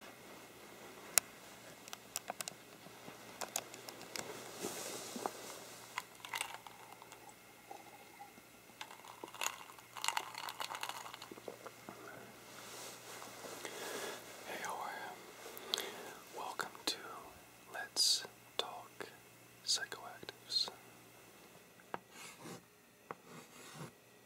Hey, you? Welcome to Let's Talk Psychoactives.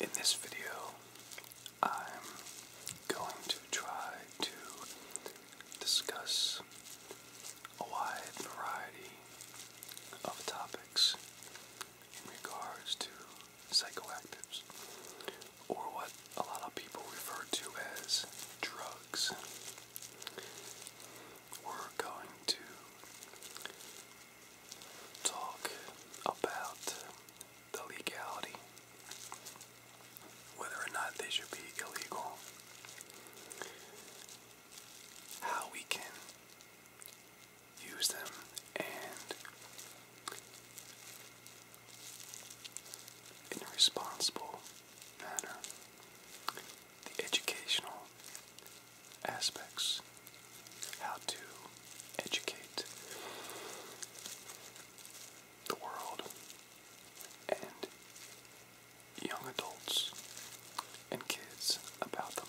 In this video, I'm going to try to discuss a wide variety of topics in regards to psychoactives, or what a lot of people refer to as drugs. We're going to talk about the legality, whether or not they should be illegal, how we can use them, and in a responsible manner, the educational aspects, how to educate the world and young adults and kids about them.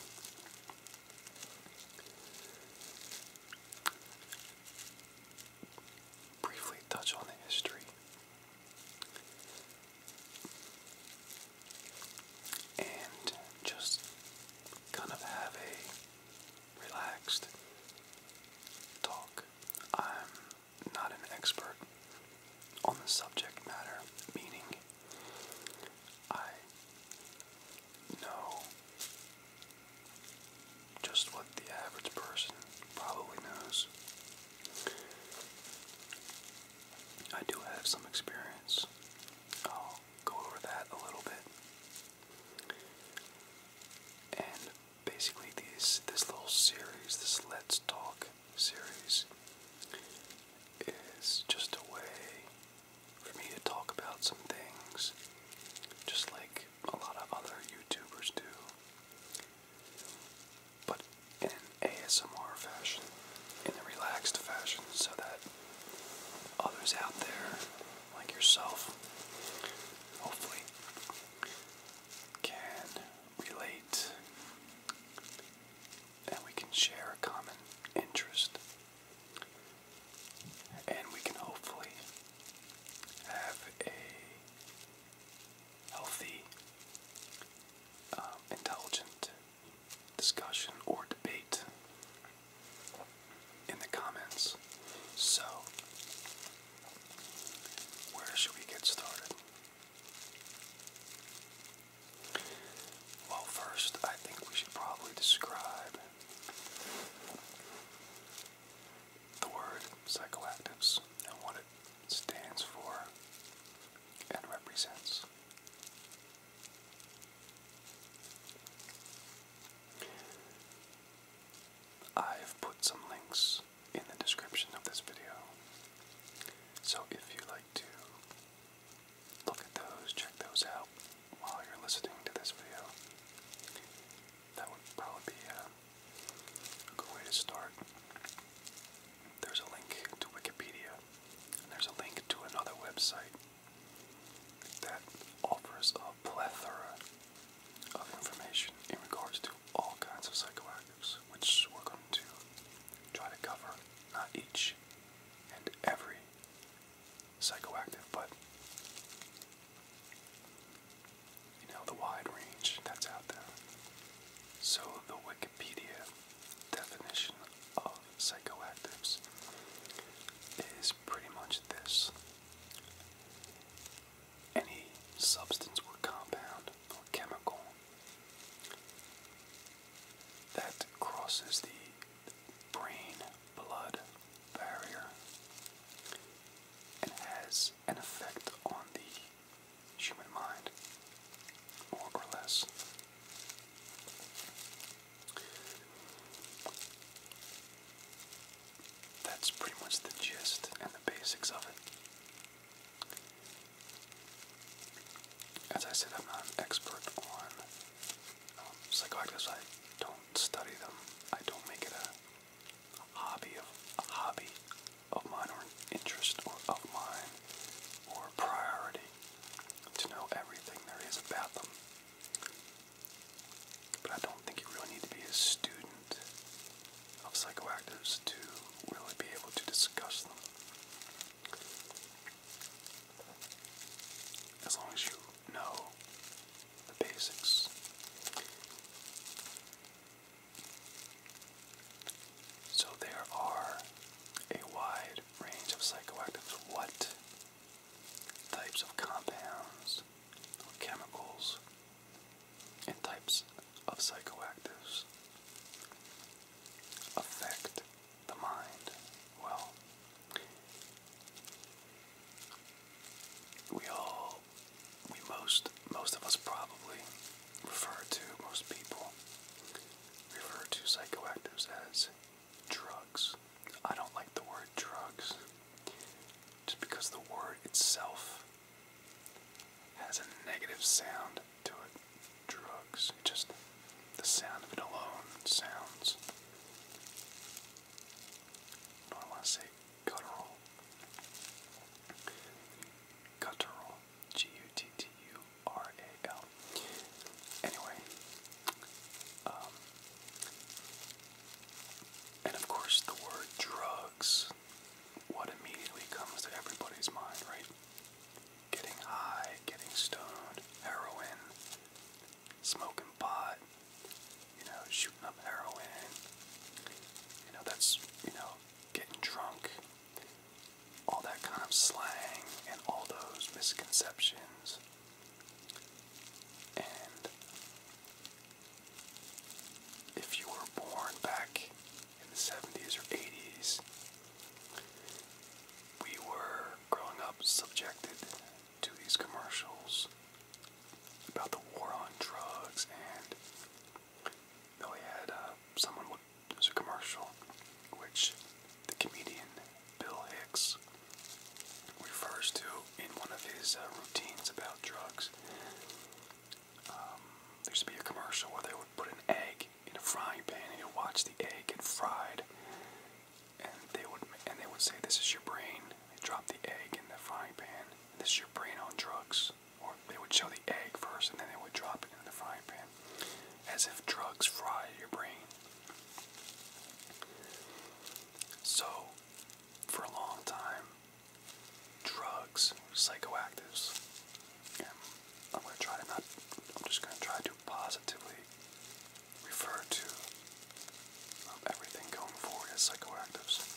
Briefly touch on the history and just kind of have a relaxed talk. I'm not an expert on the subject matter, meaning I know just what the average person probably knows. I do have some experience I'll go over that a little bit. And basically, these this little series, this Let's Talk series, is just a way for me to talk about some things, just like a lot of other YouTubers do, but in an ASMR fashion, in a relaxed fashion, so that others out there, like yourself, hopefully, can relate and we can share a common interest. And we can hopefully have a healthy, um, intelligent, discussion or debate in the comments. So, where should we get started? Well, first, I think we should probably describe the word psychoactives and what it stands for and represents. I've put some links in the description of this video. So if you like to look at those, check those out while you're listening to this video, that would probably be a, good way to start. There's a link to Wikipedia, there's a link to another website that offers a plethora of information in regards to all kinds of psychoactives, which we're going to try to cover not each and every psychoactive, but you know, the wide range that's out there. So the Wikipedia definition of psychoactives is pretty much this any substance or compound or chemical that crosses the brain blood barrier and has an effect on the human mind, more or less. That's pretty much the gist and the basics of it. As I said, I'm not an expert on um, I don't study them. I don't make it a, hobby of a hobby of mine or an interest or of mine or a priority to know everything there is about them. But I don't think you really need to be a student of psychoactives to really be able to discuss them. As long as you know the basics. So there are a wide range of psychoactives. What types of compounds chemicals, and types of psychoactives affect the mind. Well, we all, we most, most of us probably refer to, most people refer to psychoactives as drugs. I don't like the word drugs just because the word itself has a negative sound to it. Drugs. It just the sound of it alone sounds. I don't want to say guttural. Guttural. G U T T U R A L. Anyway, um, and of course, the word drugs, what immediately comes to everybody's mind, right? Getting high, getting stoned, heroin, smoking pot, you know, shooting up heroin, you know, that's, you know, getting drunk, all that kind of slang and all those misconceptions and if you were born back in the 70s or 80s, we were growing up subjected to these commercials about the war on drugs, and they had uh, someone. There's a commercial, which the comedian Bill Hicks refers to in one of his uh, routines about drugs. Um, there used to be a commercial where they would put an egg in a frying pan, and you watch the egg get fried, and they would and they would say, "This is your brain." They drop the egg in the frying pan. This is your brain on drugs. Or they would show the egg first, and then they would drop it in the frying pan, as if drugs fry your brain. So, for a long time, drugs, psychoactives, and I'm going to try to not, I'm just going to try to positively refer to um, everything going forward as psychoactives,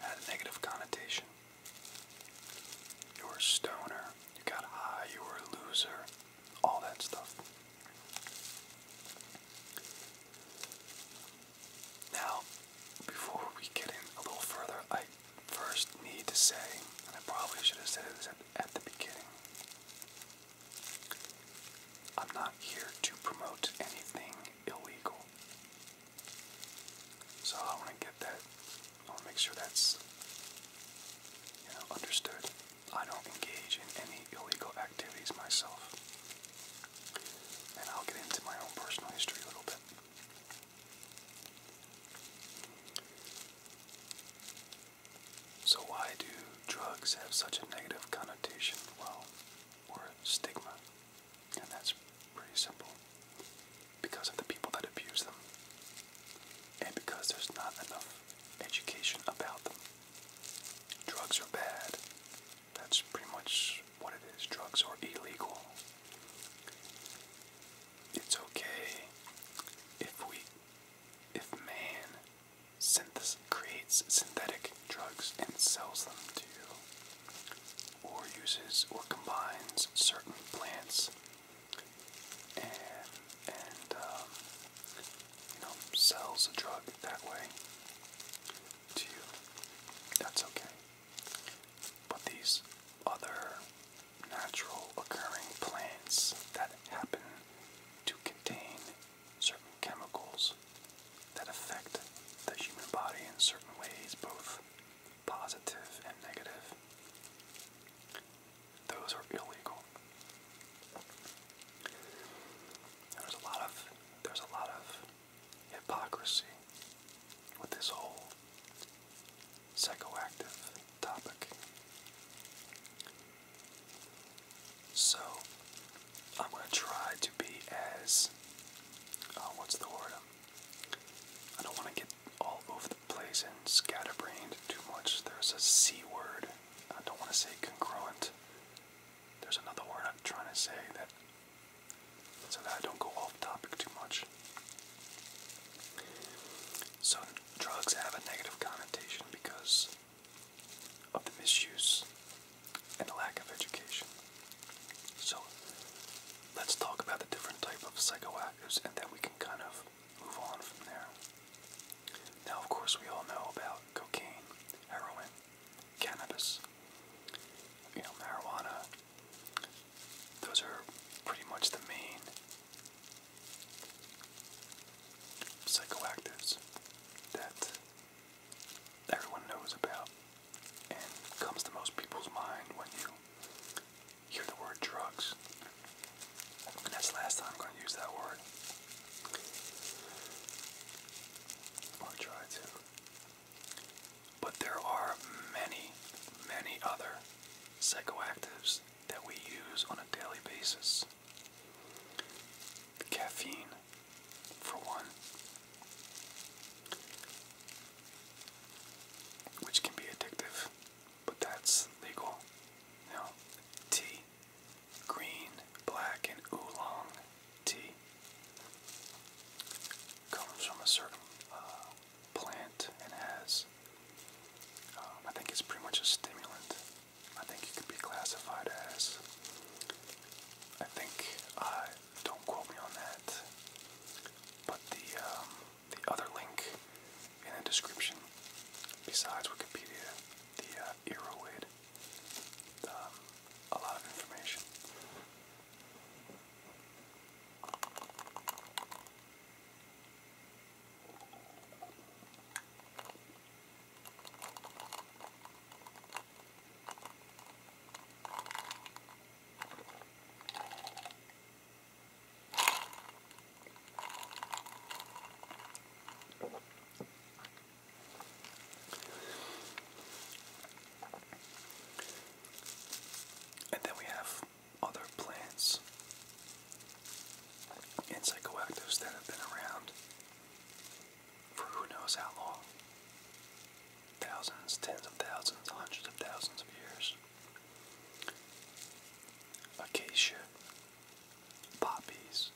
had a negative connotation. You were a stoner, you got high, you were a loser all that stuff. Now, before we get in a little further, I first need to say, and I probably should have said this at, the beginning, I'm not here to promote anything illegal. So I want to get that, I want make sure that's understood. I don't engage in any illegal activities myself. And I'll get into my own personal history a little bit. So, why do drugs have such a negative connotation? Well, or stigma. And that's pretty simple. Because of the people that abuse them, and because there's not enough education about them. Drugs are bad. That's pretty much what it is. Drugs are illegal. It's okay if we, if man synthesis, creates synthetic drugs and sells them to you, or uses or combines certain plants and and um, you know sells a drug that way to you, that's okay. But these other natural occurring plants that happen to contain certain chemicals that affect the human body in certain ways, both positive and negative. Those are illegal. There's a lot of there's a lot of hypocrisy with this whole psychoactive topic. So I'm gonna try to be as uh, what's the word? Um, I don't want to get all over the place and scatterbrained too much. There's a C word I don't want to say congruent. There's another word I'm trying to say that so that I don't go off topic too much. So drugs have a negative connotation because of the misuse and the lack of education. So let's talk about the different type of psychoactives and then we can kind of move on from there. Now, of course, we all know about cocaine, heroin, cannabis, you know, marijuana. Those are pretty much the main psychoactives that everyone knows about and comes to most people's mind when you hear the word drugs. That's the last time I'm going to use that word. Or try to. But there are many, many other psychoactives that we use on a daily basis. Caffeine, for one, which can be addictive, but that's legal. You tea, green, black, and oolong tea comes from a certain uh, plant and has, um, I think it's pretty much a stimulant. I think it could be classified as, I think, uh, don't quote me on that, but the, um, the other link in the description, besides Wikipedia, the uh, Eroid. Um, a lot of information. And then we have other plants and psychoactives that have been around for who knows how long thousands, tens of thousands, hundreds of thousands of years. Acacia, poppies,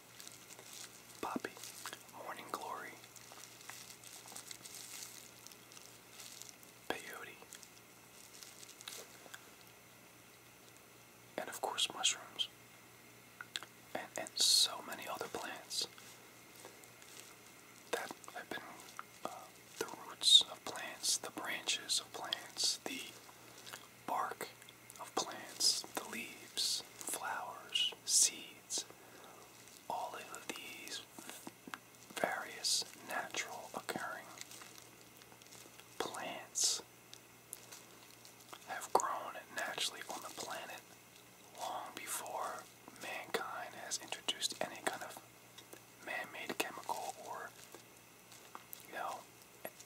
Poppy, Morning Glory, Peyote, and of course mushrooms, and, and so many other plants that have been uh, the roots of plants, the branches of plants, the bark of plants, the leaves, flowers, seeds, all of these various natural occurring plants have grown naturally on the planet long before mankind has introduced any kind of man-made chemical or you know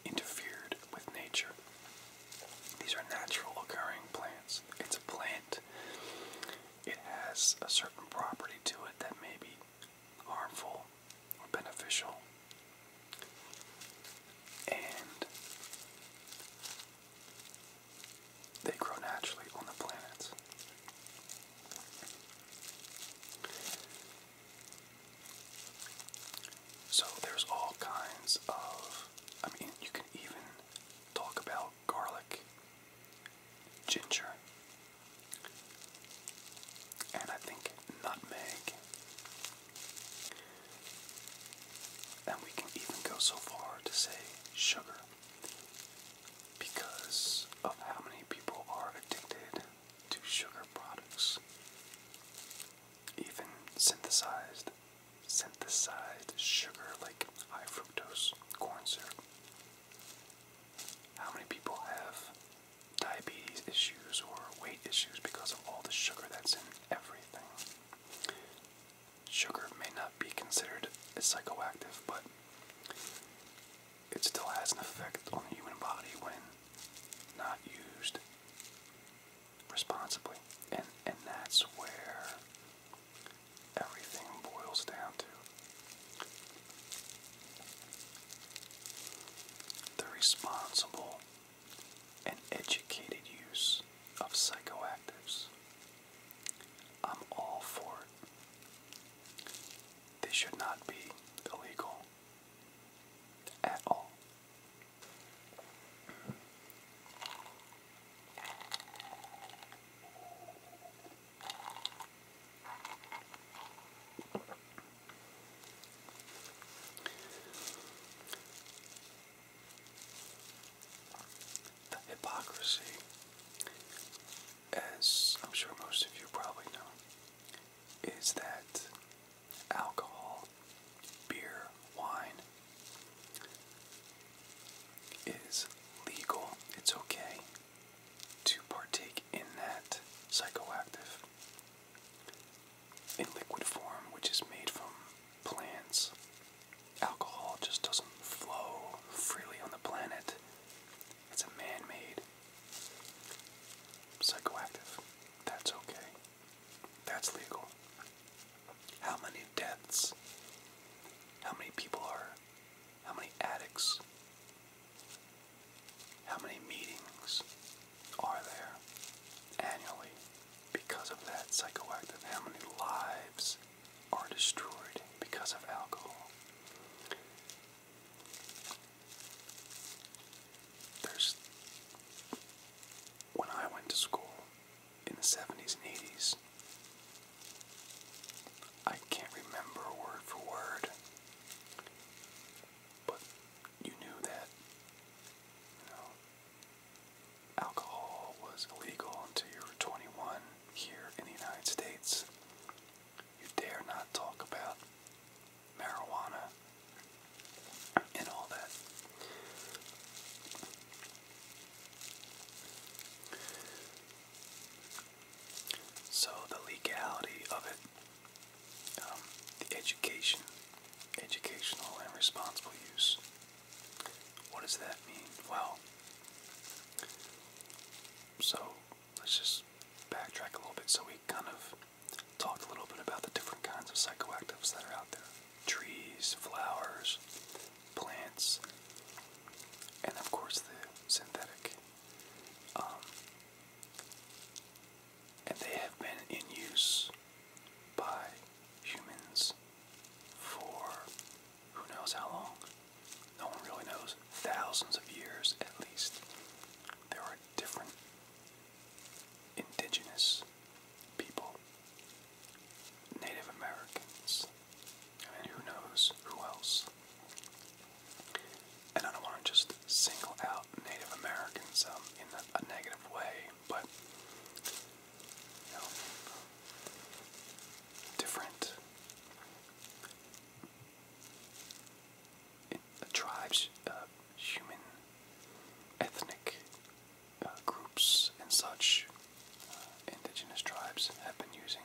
interfered with nature. These are natural occurring plants. It's a plant. It has a certain property to it that may be harmful or beneficial. And they grow naturally on the planet. So there's all kinds of, I mean, you can even talk about garlic, ginger, and I think nutmeg. And we can even go so far to say sugar because of how many people are addicted to sugar products even synthesized synthesized sugar like high fructose corn syrup. How many people have diabetes issues or weight issues because of all the sugar that's in everything? Sugar may not be considered psychoactive, but it still has an effect on the human body when not used responsibly. And and that's where everything boils down to. The responsible and educated use of psychoactives. I'm all for it. They should not be illegal at all. The hypocrisy, as I'm sure most of you probably know, is that alcohol, beer, wine is legal. It's okay to partake in that psychoactive in liquid form, which is made from plants. Alcohol just doesn't flow freely on the planet. It's a man made psychoactive. That's okay. That's legal. How many deaths? How many people are? How many addicts? How many meetings are there annually because of that psychoactive? How many lives are destroyed because of alcohol? There's when I went to school in the 70s and 80s. I can't remember word for word, but you knew that, alcohol was illegal until you were 21 here in the United States. You dare not talk about marijuana and all that. So the legality of it, um, the education, educational and responsible use. What does that mean? Well, so let's just backtrack a little bit. So we kind of talked a little bit about the different kinds of psychoactives that are out there trees, flowers, plants, and of course the synthetic. Um, and they have been in use by humans for who knows how long. No one really knows. Thousands of years at least. There are different indigenous people, Native Americans, and who knows who else. And I don't want to just single out Native Americans um, in a, negative way, but different tribes uh, human ethnic uh, groups and such, uh, indigenous tribes have been using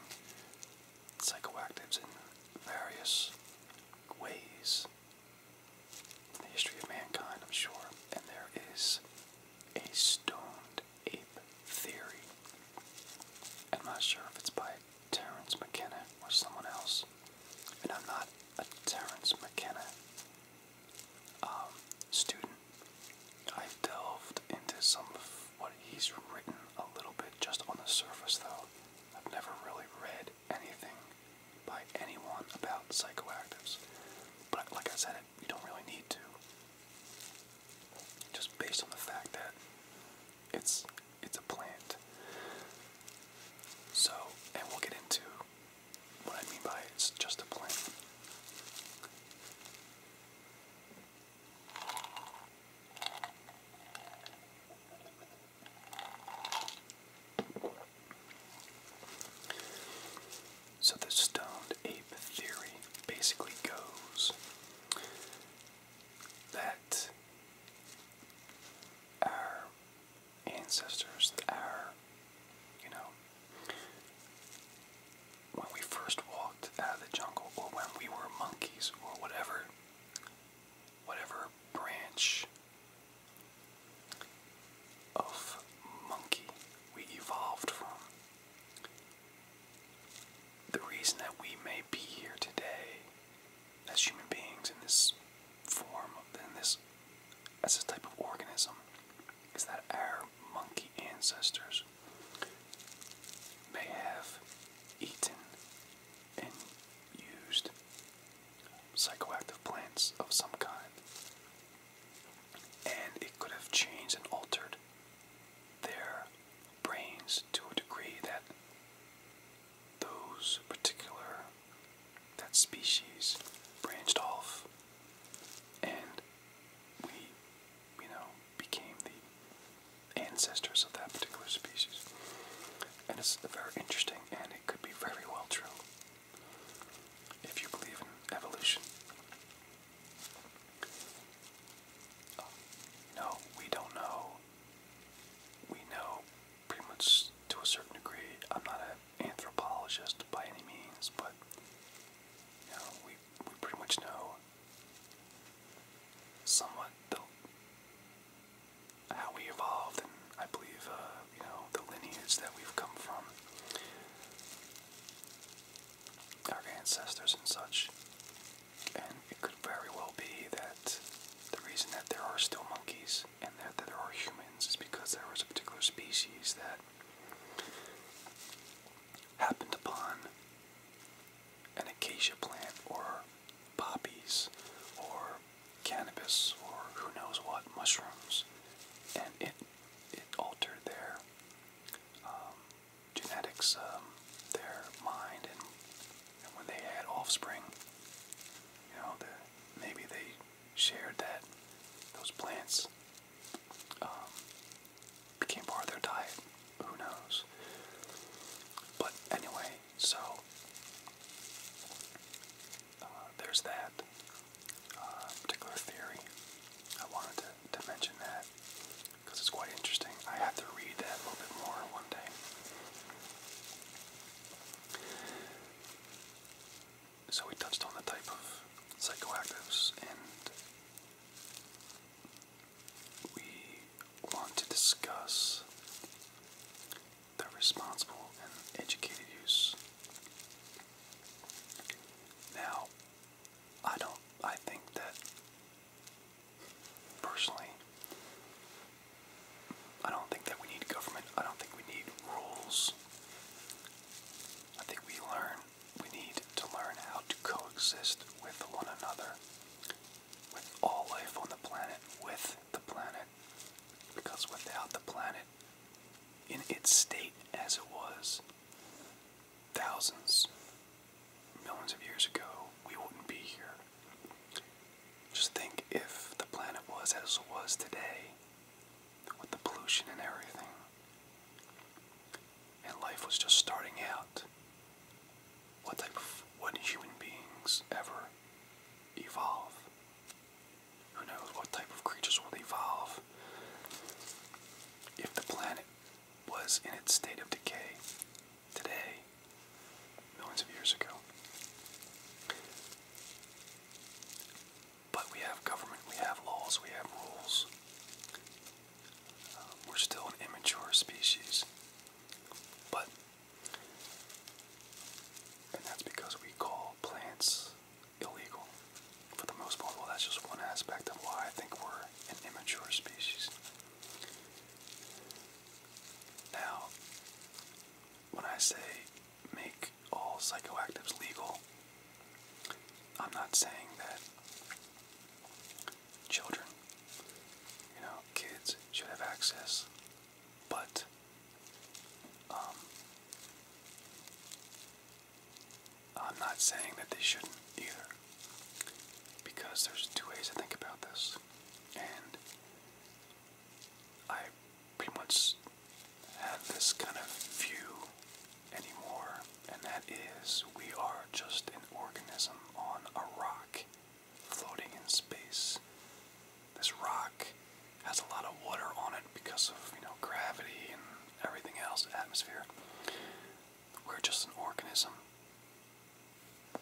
psychoactives in various ways in the history of mankind, I'm sure. And there is a stoned ape theory. I'm not sure if it's by Terence McKenna or someone else. And I'm not a Terence McKenna um, student. I've delved into some of what he's written a little bit just on the surface, though. I've never really read anything by anyone about psychoactives. But like I said, you don't really need to. Just based on the fact that it's it's a plant. So, and we'll get into what I mean by it's just a plane. So, the stoned ape theory basically goes that our ancestors, are, you know, when we first walked out of the jungle, or when we were monkeys, or whatever, whatever branch of monkey we evolved from. The reason that we may be here today as human beings in this form, in this as a type of organism is that our monkey ancestors may have eaten and used psychoactive plants of some kind, and it could have changed and altered their brains to a degree that those particular that species branched off and we, you know, became the ancestors of that particular species. And it's very interesting, and it could be very well true if you believe in evolution. no, we don't know. We know pretty much to a certain degree. I'm not anthropologist by any means, but you know, we we pretty much know somewhat how we evolved, and I believe uh, you know the lineage that we've come from, our ancestors and such. And it could very well be that the reason that there are still monkeys and that there are humans is because there was a particular species that happened upon an acacia plant or poppies or cannabis or who knows what mushrooms and it it altered their um, genetics um, their mind and, when they had offspring you know maybe they shared that those plants um, became part of their diet. Who knows? But anyway, so uh, there's that uh, particular theory. I wanted to, to mention that because it's quite interesting. I have to read that a little bit more one day. So we touched on the type of psychoactives and we want to discuss the responsible and educated use. Now, I don't, I think that personally, I don't think that we need government, I don't think we need rules. I think we learn we need to learn how to coexist with one another, with all life on the planet, with the planet. Because without the planet, in its state as it was thousands, millions of years ago, we wouldn't be here. Just think if the planet was as it was today, with the pollution and everything. And life was just starting out. What type of would human beings ever evolve? Who knows what type of creatures will evolve if the planet was in its state of decay today, millions of years ago? But we have government, we have laws, we have rules. Um, we're still an immature species. But, and that's because we call plants illegal for the most part. Well, that's just one aspect of why I think we're an immature species. Now, when I say make all psychoactives legal. I'm not saying that children, you know, kids should have access, but um, I'm not saying that they shouldn't either, because there's two ways to think about this, and I pretty much have this kind of view anymore, and that is we are just an organism on a rock floating in space. This rock has a lot of water on it because of, you know, gravity and everything else, atmosphere. We're just an organism.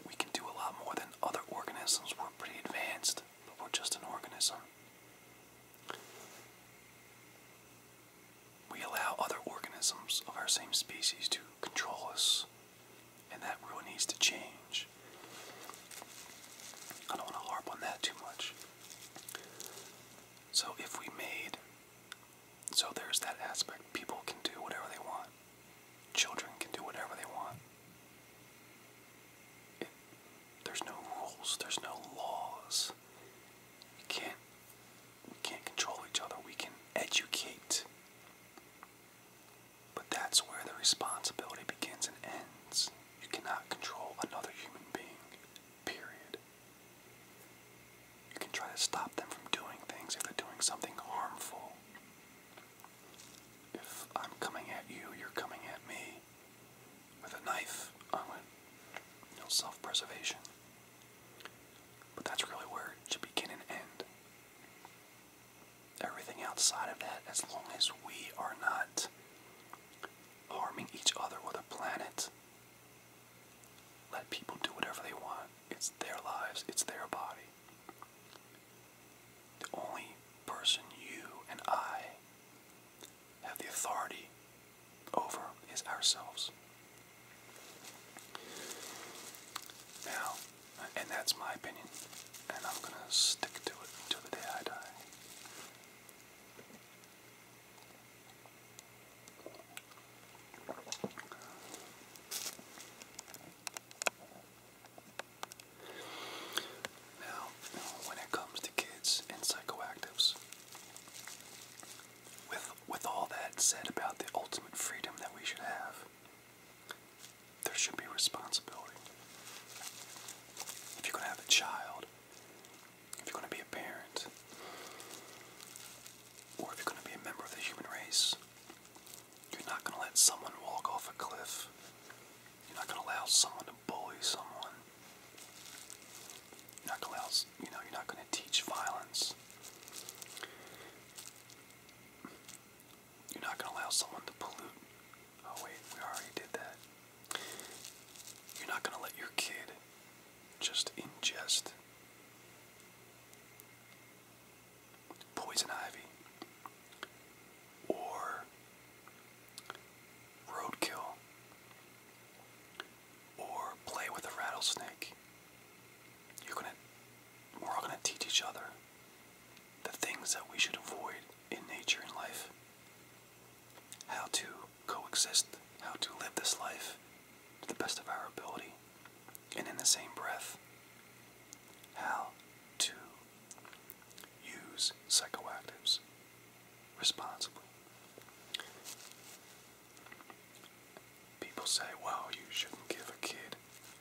We can do a lot more than other organisms. We're pretty advanced, but we're just an organism. We allow other organisms of our same species to control us, and that really needs to change. I don't want to harp on that too much. So, if we made, so there's that aspect. People can do whatever they want, children can do whatever they want. there's no rules, there's no laws. You can't we can't control each other. We can educate. But that's where the responsibility begins and ends. You cannot control another human being, period. You can try to stop them from doing things if they're doing something harmful. If I'm coming at you, you're coming at me with a knife on it. You self preservation. But that's really where it should begin and end. Everything outside of that, as long as we are not harming each other or the planet, let people do whatever they want. It's their lives, it's their body. The only person you and I have the authority over is ourselves. Now, and that's my opinion, and I'm going to stick to it until the day I die. Now, when it comes to kids and psychoactives, with with all that said about the ultimate freedom that we should have, there should be responsibility. If you're gonna have a child, if you're gonna be a parent, or if you're gonna be a member of the human race, you're not gonna let someone walk off a cliff. You're not gonna allow someone to bully someone. Not gonna else, you know, you're not gonna teach violence. You're not gonna allow someone to pollute. Oh wait, we already did that. You're not gonna let your kid just ingest poison ivy or roadkill or play with a rattlesnake. we're all gonna teach each other the things that we should avoid in nature and life. How to coexist, how to live this life to the best of our ability, and in the same breath, how to use psychoactives responsibly. People say, well, you shouldn't give a kid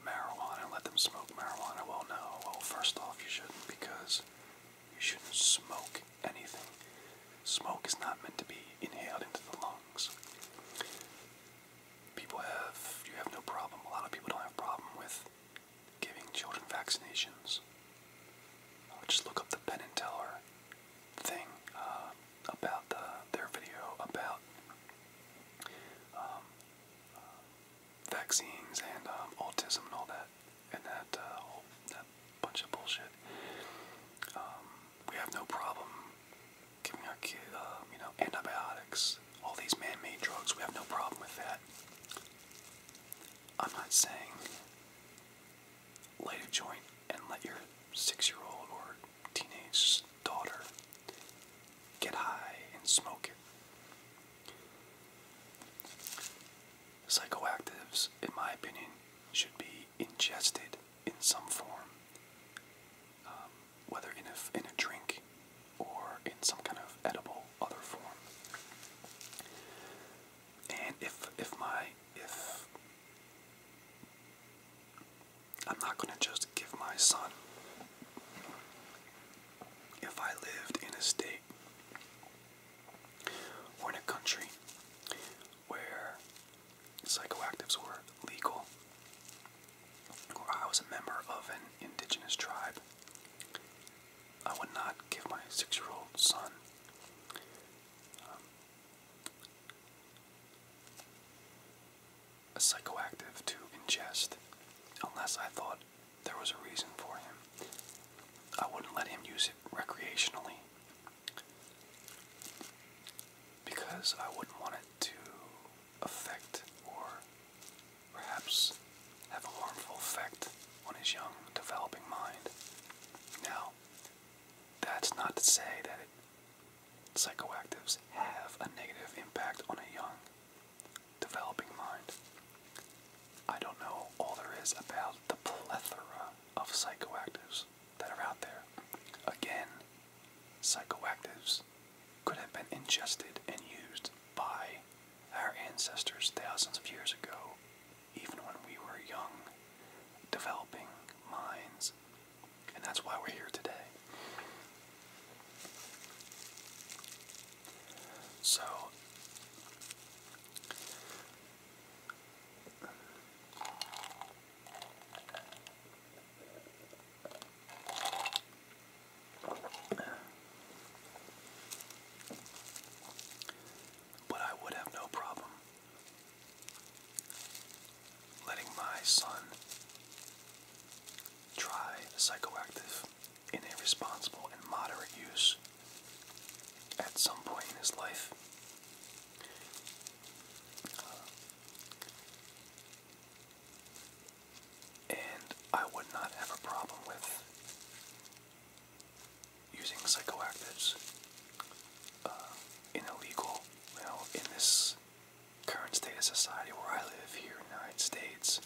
marijuana and let them smoke marijuana. Well, no. Well, first off, you shouldn't because you shouldn't smoke anything. Smoke is not meant to be inhaled into the lungs. People have, you have no problem, a lot of people don't have problem with giving children vaccinations. i uh, just look up the Penn and Teller thing. Uh, about uh, their video about um, uh, vaccines and um, autism and all that, and that uh, whole that bunch of bullshit. Um, we have no problem giving our kid, uh, you know, antibiotics, all these man-made drugs. We have no problem with that. I'm not saying light a joint and let your six year old or teenage daughter get high and smoke it. Psychoactives, in my opinion, should be ingested in some form, um, whether in a, in a drink or in some kind of edible other form. And if if my if I'm not going to just give my son. If I lived in a state or in a country where psychoactives were legal, or I was a member of an indigenous tribe, I would not give my six year old son um, a psychoactive to ingest unless I thought there was a reason for him. I wouldn't let him use it recreationally because I wouldn't want it to affect or perhaps have a harmful effect on his young developing mind. Now, that's not to say that psychoactives have a negative impact on a young, developing mind. I don't know all there is about the plethora of psychoactives that are out there. Again, psychoactives could have been ingested and used by our ancestors thousands of years ago, even when we were young, developing minds and that's why we're here today. So, but I would have no problem letting my son try psychoactive in a responsible and moderate use at some point in his life. and I would not have a problem with using psychoactives uh, and illegal. You in this current state of society where I live here in the United States,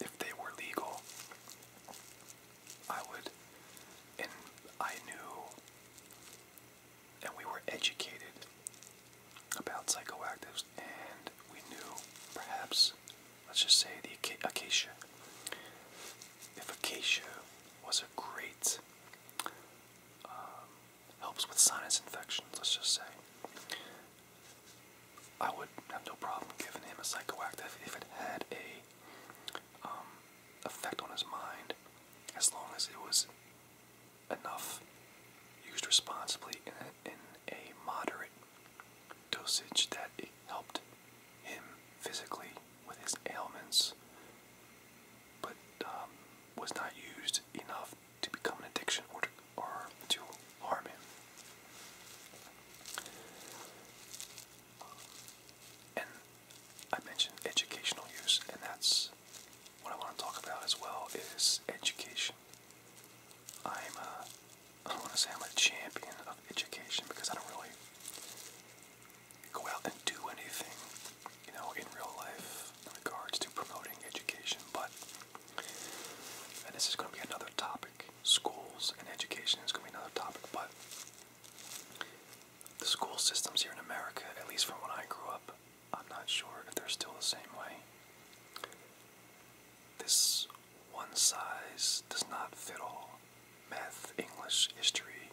if they were legal, I would, and I knew, and we were educated about psychoactives, and we knew perhaps, let's just say, the acacia. If acacia was a great um, helps with sinus infections, let's just say. I would have no problem giving him a psychoactive if it had a um, effect on his mind, as long as it was enough, used responsibly in a, in a moderate dosage that it helped him physically with his ailments, but um, was not used enough to become an addiction or to, harm him. And I mentioned educational use, and that's what I want to talk about as well is education. I'm a, I want to say I'm a champion of education because I don't really go out and do anything, you know, in real life in regards to promoting education. But, and this is going to be another topic schools and education is going to be another topic, but the school systems here in America, at least from when I grew up, I'm not sure if they're still the same way. This one size does not fit all. Math, English, history,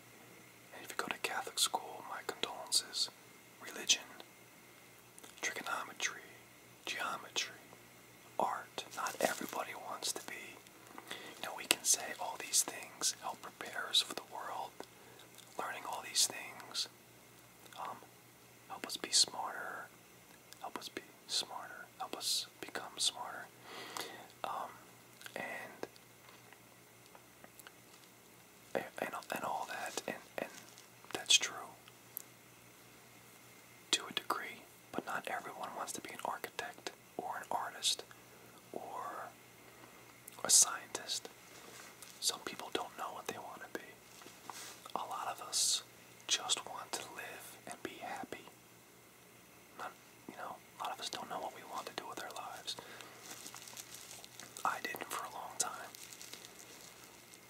and if you go to Catholic school, my condolences. Religion, trigonometry, geometry, art. Not everybody wants to be. You know, we can say all these things help prepare us for the world. Learning all these things um, help us be smarter. Help us be smarter. Help us become smarter. Um, and and, and all that, and, and that's true to a degree, but not everyone wants to be an architect or an artist or a scientist. Some people don't know what they want to be. A lot of us just want to live and be happy. Not, you know, a lot of us don't know what we want to do with our lives. I didn't for a long time.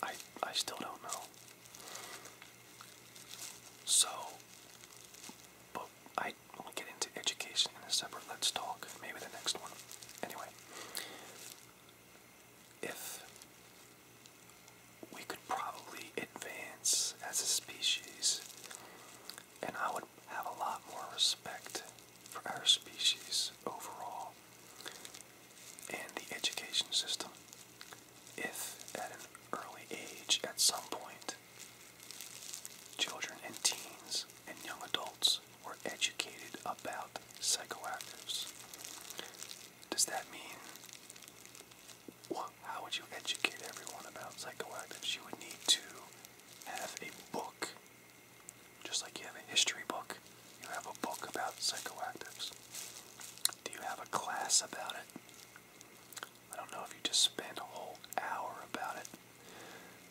I I still don't know. So, but I will get into education in a separate let's talk. Maybe the next one. Anyway, if we could probably advance as a species, and I would have a lot more respect for our species overall and the education system if at an early age, at some point, children and teens and young adults were educated about psychoactives. Does that mean well, how would you educate everyone about psychoactives? You would need to have a book just like you have a history book, you have a book about psychoactives. Do you have a class about it? I don't know if you just spend a whole hour about it.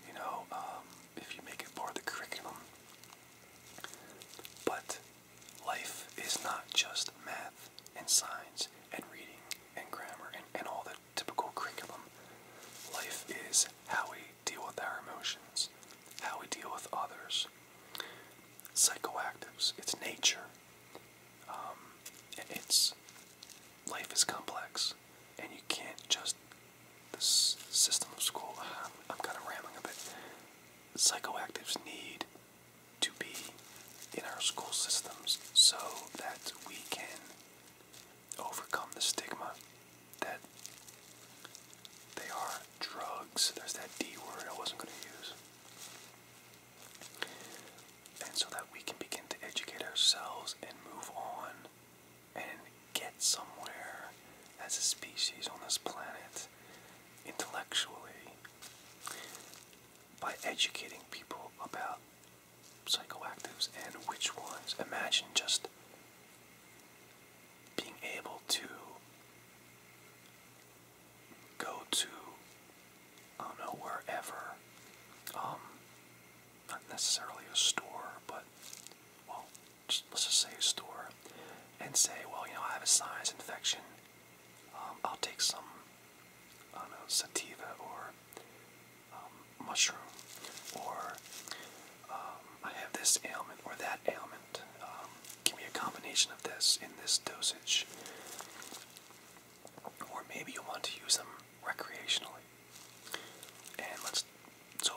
You know, um, if you make it part of the curriculum. But life is not just math and science and reading and grammar and, and all the typical curriculum. Life is how we deal with our emotions, how we deal with others. Psychoactives, it's nature. Um, it's life is complex, and you can't just this system of school. Uh, I'm, I'm kind of rambling a bit. Psychoactives need to be in our school systems so that we can overcome the stigma that they are drugs. There's that D word I wasn't going to use. And so that we can begin to educate ourselves and move on and get somewhere as a species on this planet intellectually by educating people about psychoactives and which ones. Imagine just being able to go to, I don't know, wherever, um, not necessarily a store, but, well, just, let's just say a store, and say, well, you know, I have a sinus infection, um, I'll take some, I don't know, sativa or um, mushroom, or um, I have this ailment or that ailment. Um, give me a combination of this in this dosage. Or maybe you want to use them recreationally. And let's, so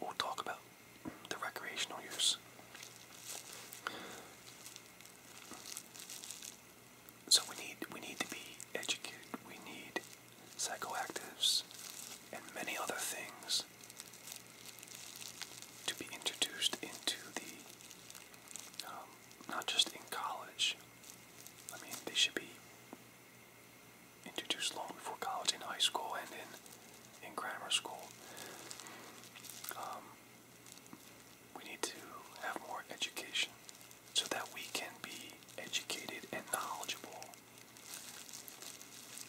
we'll talk about the recreational use. So we need we need to be educated. We need psychoactives, and many other things to be introduced into the, um, not just in college. I mean, they should be introduced long before college, in high school, and in, in grammar school. Um, we need to have more education so that we can be educated and knowledgeable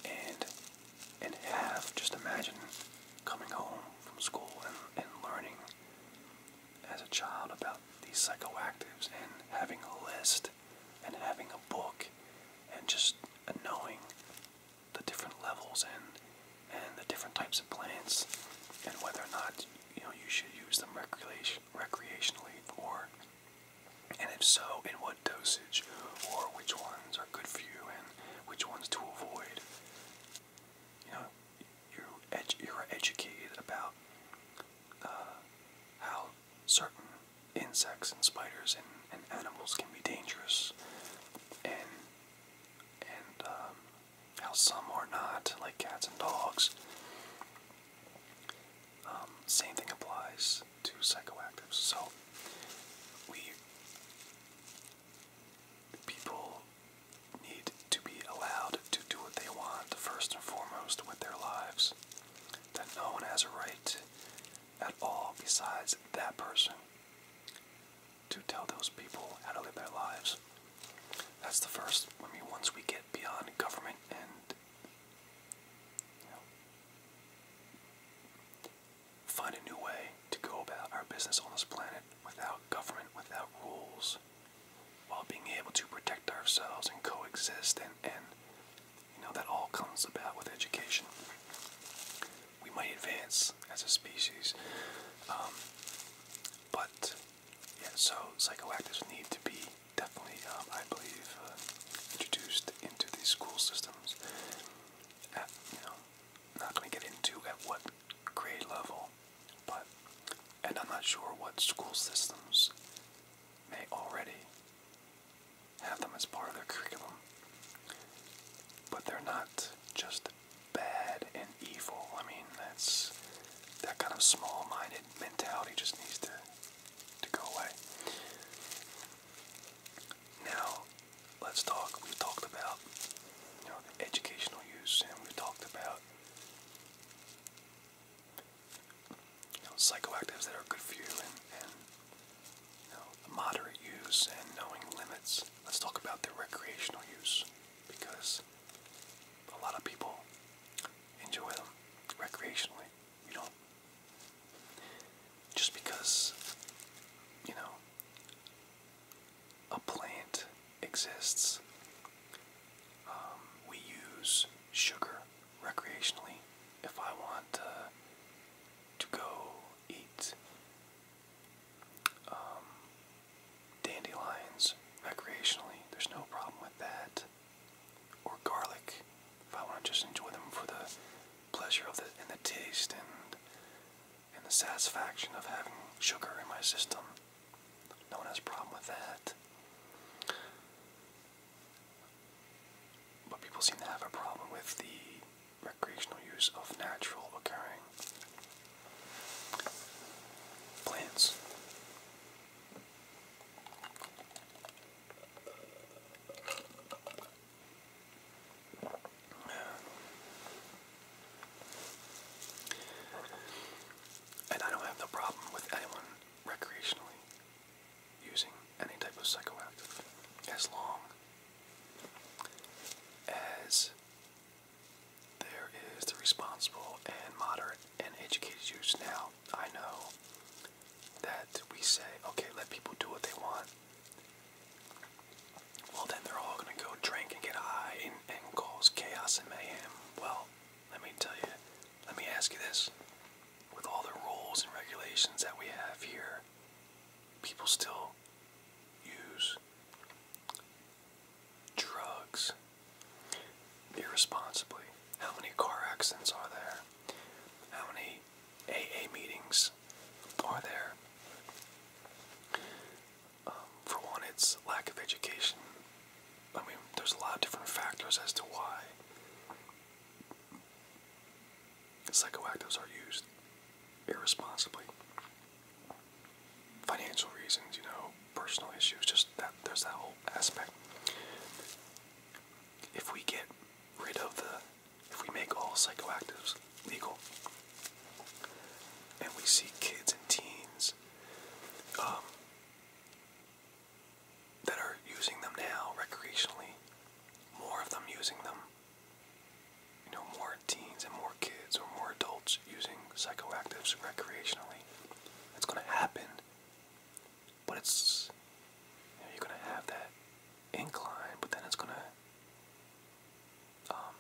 and and have just imagine coming home from school and, and learning as a child about these psychoactives and having a list and having a book and just knowing the different levels and and the different types of plants and whether or not you know you should use them recreation recreationally or and if so, in what dosage, or which ones are good for you and which ones to avoid. You know, you you're educated about uh, how certain insects and spiders and, animals can be dangerous, and and um, how some are not, like cats and dogs. Um, same thing applies to psychoactives. So we people need to be allowed to do what they want first and foremost with their lives. That no one has a right at all besides that person to tell those people how to live their lives. That's the first. I mean, once we get beyond government and Find a new way to go about our business on this planet without government, without rules, while being able to protect ourselves and coexist and, and you know that all comes about with education. We might advance as a species. Um, but yeah, so psychoactives need to be definitely, um, I believe, uh, introduced into these school systems. At, you know, not going to get into at what grade level, but, and I'm not sure what school systems may already have them as part of their curriculum. But they're not just bad and evil. I mean, that's that kind of small-minded mentality just needs to to go away. Now, let's talk. we talked about you know the educational use, and we've talked about you know psychoactives that are good for you, and, you know moderate use, and knowing limits. Let's talk about their recreational use because a lot of people enjoy them recreationally you know, just because, you know, a plant exists, um, we use sugar recreationally. If I want to go eat um, dandelions recreationally, there's no problem with that or garlic if I want to just enjoy them for the pleasure of the and the taste and and the satisfaction of having sugar in my system. No one has a problem with that. But people seem to have a problem with the recreational use of natural occurring plants. And I don't have the problem with anyone recreationally using any type of psychoactive as long as there is the responsible and moderate and educated use. Now, I know that we say, okay, let people do what they want, well, then they're all going to go drink and get high and, cause chaos and mayhem. Well, let me tell you, let me ask you this. With all the rules and regulations that we have here, people still use drugs irresponsibly. How many car accidents are there? How many AA meetings are there. Um, for one, it's lack of education. I mean, there's a lot of different factors as to why psychoactives are used irresponsibly. Financial reasons, you know, personal issues, just that there's that whole aspect. If we get rid of the if we make all psychoactives legal and we see kids and teens um, that are using them now recreationally, more of them using them, you know, more teens and more kids or more adults using psychoactives recreationally, it's going to happen but it's you are gonna have that incline, but then it's gonna um,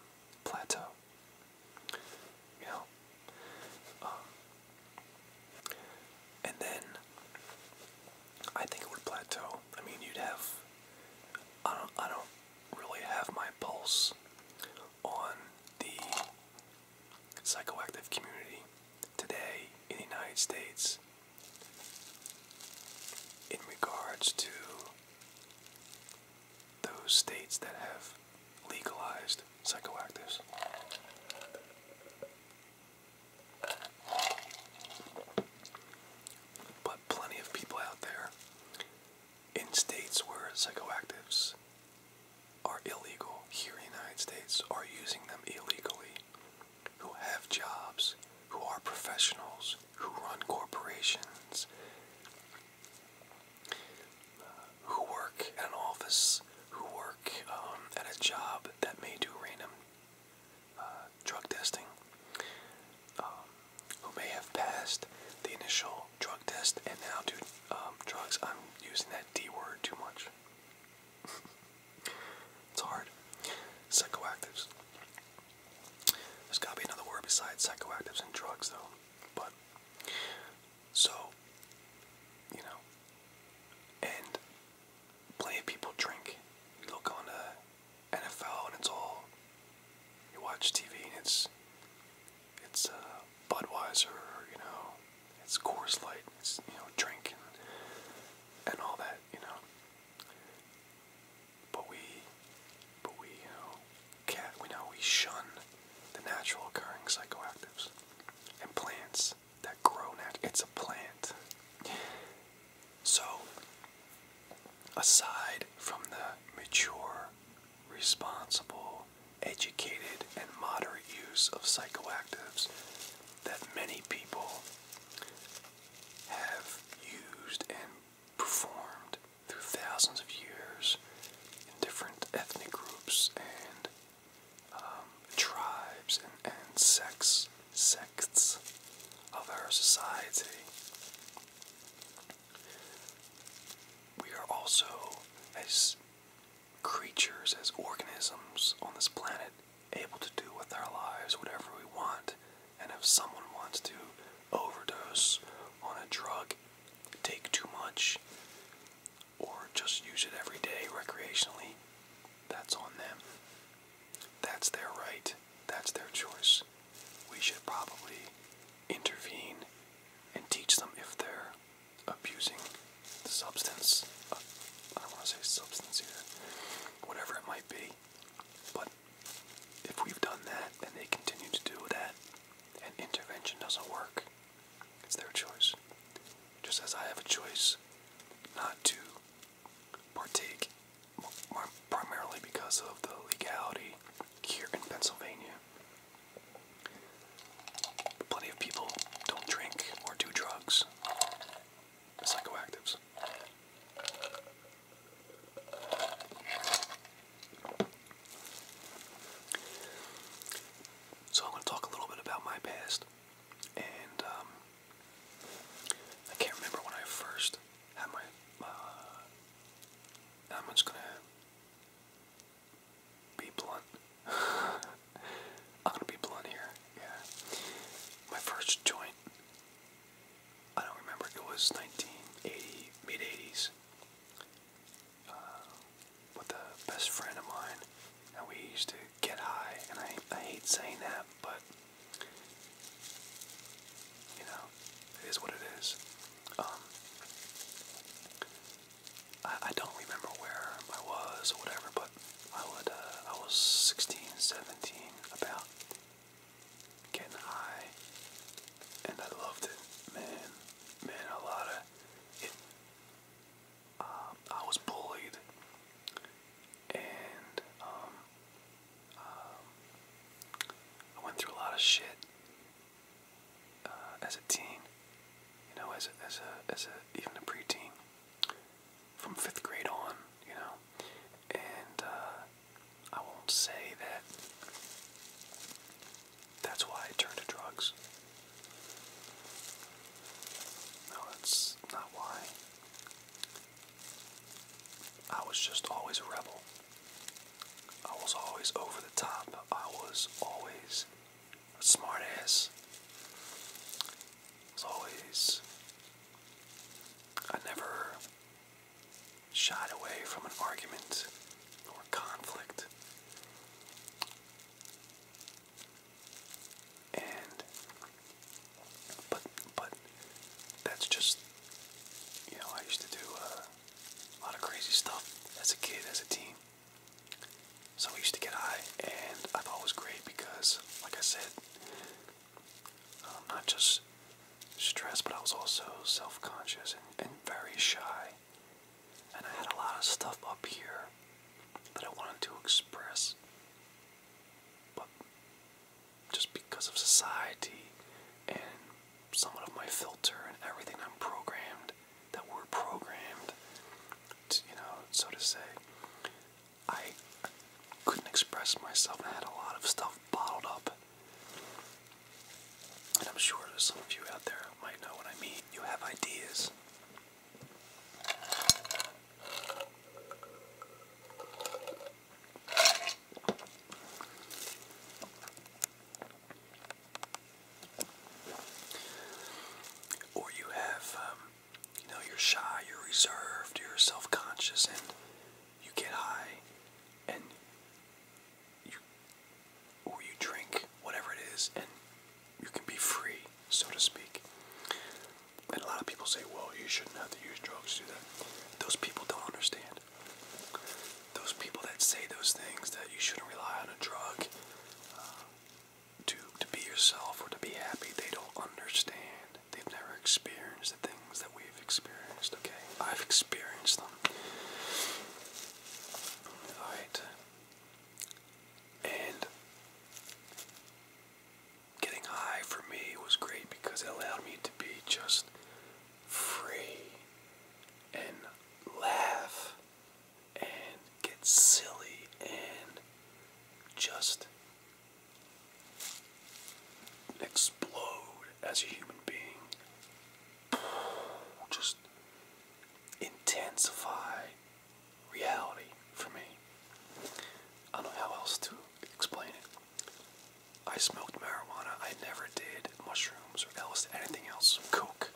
plateau. You know, um, and then I think it would plateau. I mean, you'd have I don't I don't really have my pulse on the psychoactive community today in the United States in regards to those states that have legalized psychoactives. But plenty of people out there in states where psychoactives are illegal here in the United States are using them illegally who have jobs, who are professionals, who run corporations, who work at an office, who work um, at a job that may do random uh, drug testing, um, who may have passed the initial drug test and now do um, drugs. I'm using that D word too much. It's hard. Psychoactives. There's gotta be another word besides psychoactives and drugs, though. But, so, you know, and plenty of people drink. You look on the NFL and it's all, you watch TV and it's, it's uh, Budweiser, you know, it's Coors Light, it's, you know, drink and, and all that, you know. But we, but we, you know, can we know we shun the natural occurring psychoactives and plants that grow nat It's a plant. So, aside from the mature, responsible, educated, and moderate use of psychoactives that many people have used and performed through thousands of years in different ethnic groups and um, tribes and, and sects, sects of our society. We are also, as creatures, as organisms on this planet, able to do with our lives whatever we want. And if someone wants to overdose on a drug, take too much, or just use it every day recreationally, that's on them. That's their right. That's their choice. We should probably intervene and teach them if they're abusing the substance. Uh, I don't want to say substance here. Whatever it might be. But if we've done that and they continue to do that, and intervention doesn't work, it's their choice. Just as I have a choice not to partake, primarily because of the legality here in Pennsylvania. Plenty of people don't drink or do drugs psychoactives. So I'm going to talk a little bit about my past, and um, I can't remember when I first had my. Uh, I'm just going to be blunt. I'm going to be blunt here. Yeah, my first joint I don't remember. It was 1980, mid 80s. Uh, with a best friend of mine, and we used to get high. And I, I hate saying that, but you know, it is what it is. Um, I, don't remember where I was or whatever, but I would. Uh, I was 16, 17, about getting high, and I loved it, man. Man, a lot of it. Um, I was bullied, and um, um, I went through a lot of shit uh, as a teen. You know, as a, as a as a even a preteen, from fifth grade on. You know, and uh, I won't say that that's why I turned to drugs. No, that's not why. I was just always a rebel. I was always over the top. I was always a smart ass. I was always I never shied away from an argument or conflict. And but but that's just you know I used to do uh, a lot of crazy stuff as a kid as a teen. So I used to get high, and I thought it was great because, like I said, um, not just stressed, but I was also self conscious and, very shy. And I had a lot of stuff up here that I wanted to express, but just because of society and some of my filter and everything I'm programmed, that we're programmed, you know, so to say, I couldn't express myself. I had a lot of stuff bottled up. And I'm sure there's some of you out there might know what I mean. You have ideas. Or you have, um, you know, you're shy, you're reserved, you're self conscious, and you get high and you or you drink whatever it is and you can be free, so to speak. And a lot of people say, well, you shouldn't have to use drugs to do that. Those people don't understand. Those people that say those things that you shouldn't rely on a drug uh, to, to be yourself or to be happy, they don't understand they've never experienced the things that we've experienced, okay? I've experienced them. Alright. And getting high for me was great because it allowed me to be just free and laugh and get silly and just explode as a human being. Just intensify reality for me. I don't know how else to explain it. I smoked marijuana. I never did mushrooms or else anything else. Coke.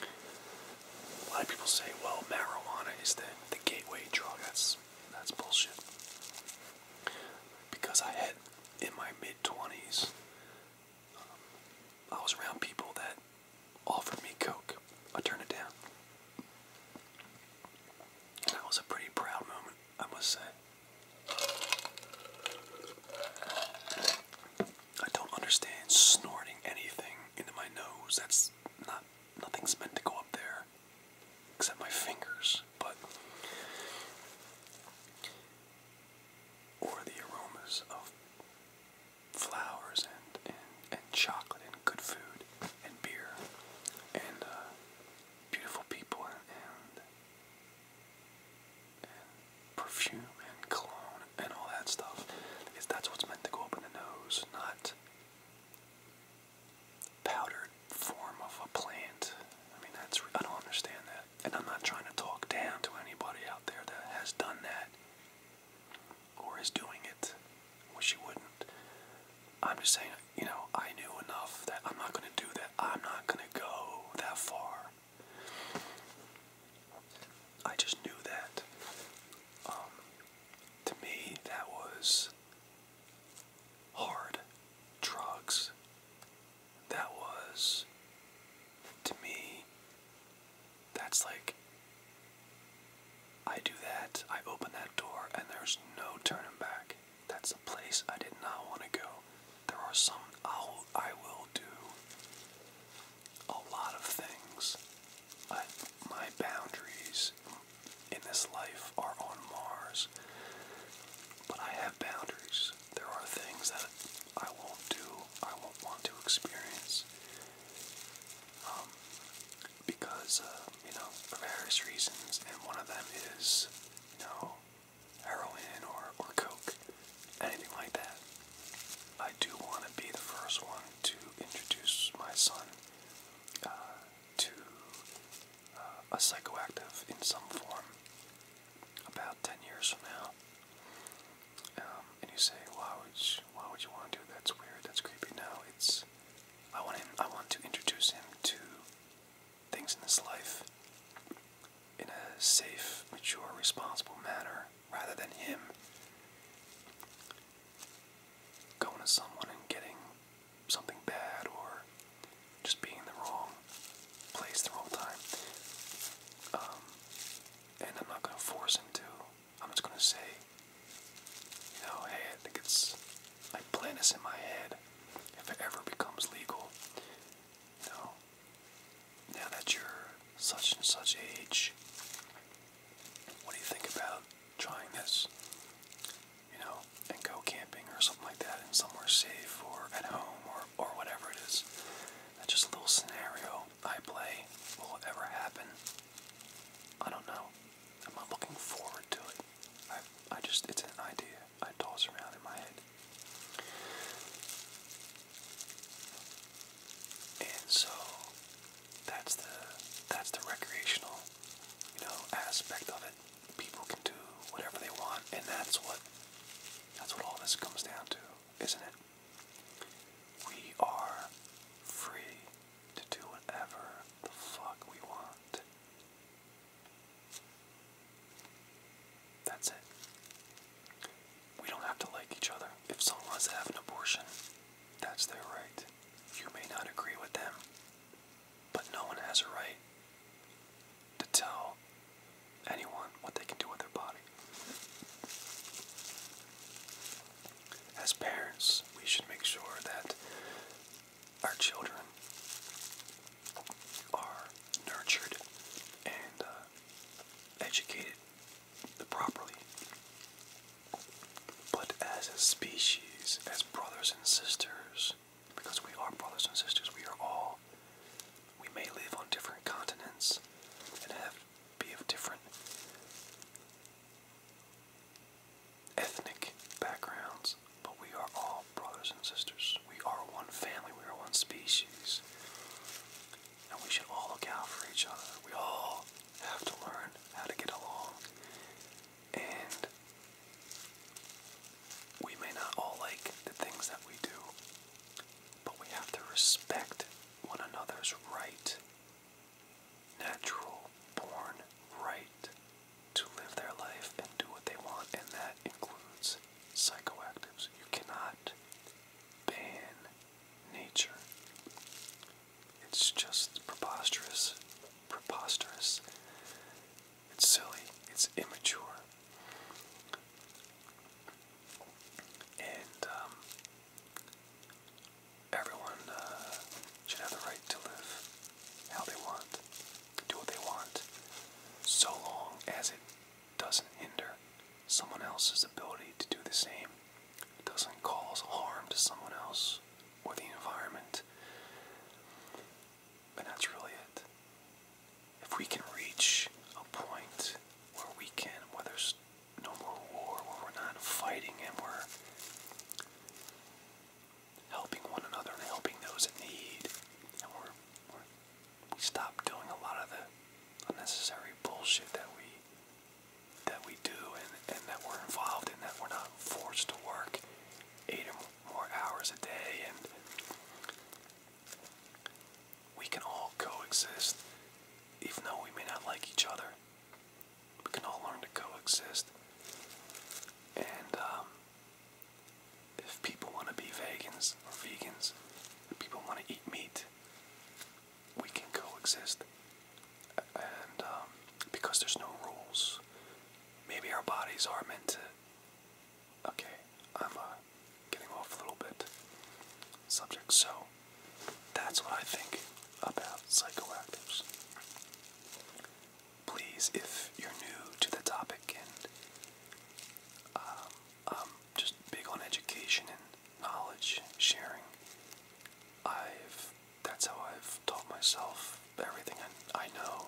A lot of people say, well, marijuana is the, gateway drug. That's that's bullshit because I had in my mid 20s, um, I was around people that offered me Coke. I turned it down. that was a pretty proud moment, I must say. I don't understand snorting anything into my nose. That's not nothing's meant to go up there except my fingers, but or the aromas of flowers and and, chocolate and good food and beer and uh, beautiful people and, perfume and cologne and all that stuff is that's what's meant to go up in the nose, not powdered form of a plant. I mean, that's I don't understand that, and I'm not trying to talk down to anybody out there that has done that or is doing it. Wish you wouldn't. I'm just saying, you know, I knew enough that I'm not going to do that. I'm not going to go that far. I just knew that. Um, to me, that was hard drugs. That was, to me, that's like, I do that, I open that door, and there's no turning back. That's a place I did not want to go. There are some, I'll, do a lot of things. but my boundaries in this life are on Mars. But I have boundaries. There are things that I won't do, I won't want to experience. Um, because, uh, you know, for various reasons, and one of them is, you know, heroin or, or coke, anything like that. I do want to be the first one to introduce my son uh, to a psychoactive in some form about 10 years from now. Um, and you say, why would why would you want to do that? That's weird. That's creepy. No, it's I want him. I want to introduce him to things in this life in a safe, mature, responsible manner, rather than him going to someone and getting something bad or just being in the wrong place the wrong time. Um, and I'm not going to force him to. I'm just going to say, you know, hey, I think it's. I plan this in my head. If it ever becomes legal, you know, now that you're such and such age, what do you think about trying this? you know, and go camping or something like that and somewhere safe or at home or, or whatever it is. That's just a little scenario I play. Will it ever happen? I don't know. I'm not looking forward to it. I, I just, it's an idea I toss around in my head. And so that's the that's the recreational, you know, aspect of it people can do whatever they want, and that's what that's what all this comes down to, isn't it? We are free to do whatever the fuck we want. That's it. We don't have to like each other. If someone wants to have an abortion, that's their right. You may not agree with them. But no one has a right to tell anyone what they can do with their body. As parents, we should make sure that our children are nurtured and uh, educated properly. But as a species, as brothers and sisters, because we are brothers and sisters. We are all. We may live on different continents and have be of different ethnic backgrounds, but we are all brothers and sisters. We are one family. We are one species. And we should all look out for each other. We all have to learn how to get along and we may not all like the things that we do, but we have to respect one another's right, natural born right, to live their life and do what they want, and that includes psychoactives. You cannot ban nature. It's just preposterous, preposterous it's silly. It's immature. And um, everyone uh, should have the right to live how they want, do what they want, so long as it doesn't hinder someone else's ability to do the same, doesn't cause harm to someone else or the environment. And that's really it. If we can reach a point where we can, where there's no more war, where we're not fighting and we're helping one another and helping those in need, and we're, we stop doing a lot of the unnecessary bullshit that we that we do and, and that we're involved in, that we're not forced to work eight more hours a day, and we can all coexist, even though we may not like each other. We can all learn to coexist. And um, if people want to be vegans or vegans, and people want to eat meat, we can coexist. And um, because there's no rules, maybe our bodies are meant to Okay, I'm uh, getting off a little bit subject. So that's what I think about psychoactives. Please, if you're new to the topic and I'm um, um, just big on education and knowledge sharing, I've that's how I've taught myself everything I, I know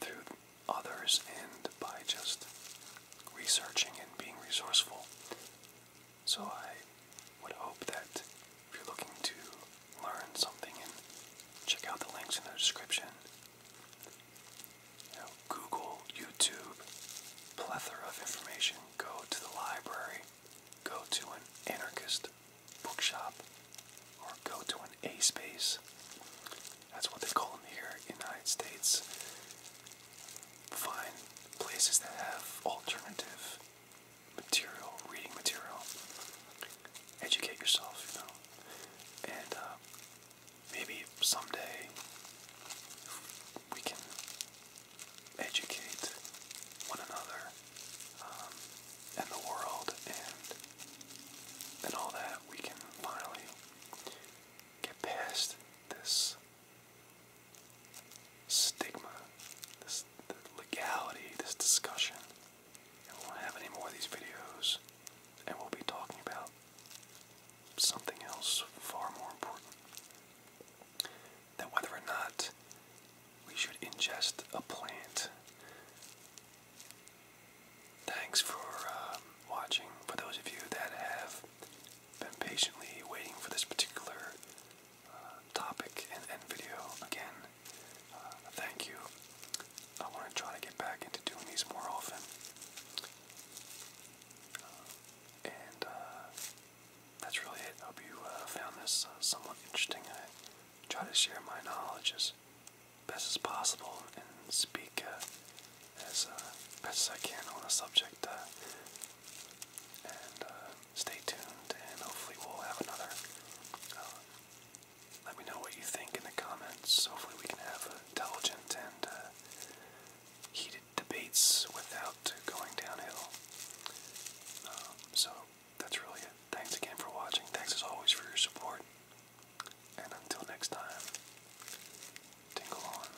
through others and by just researching and being resourceful. So I would hope that if you're looking to learn something and check out the links in the description, Google, YouTube, plethora of information. Go to the library, go to an anarchist bookshop or go to an A space. That's what they call them here in the United States. Find places that have alternative material, reading material. Educate yourself, you know. And uh, maybe someday we can educate one another um, and the world and and all that, we can finally get past this stigma, this legality, this discussion, we won't have any more of these videos, and we'll be talking about something else far more important. That whether or not we should ingest a plant Thanks for um, watching. For those of you that have been patiently waiting for this particular uh, topic and, video, again, uh, thank you. I want to try to get back into doing these more often. Uh, and that's really it. hope you found this somewhat interesting. I try to share my knowledge best as possible and speak uh, as uh, best as I can on the subject. Uh, and stay tuned, and hopefully, we'll have another. Uh, let me know what you think in the comments. Hopefully, we can have intelligent and heated debates without going downhill. Um, so, that's really it. Thanks again for watching. Thanks as always for your support. And until next time, tingle on.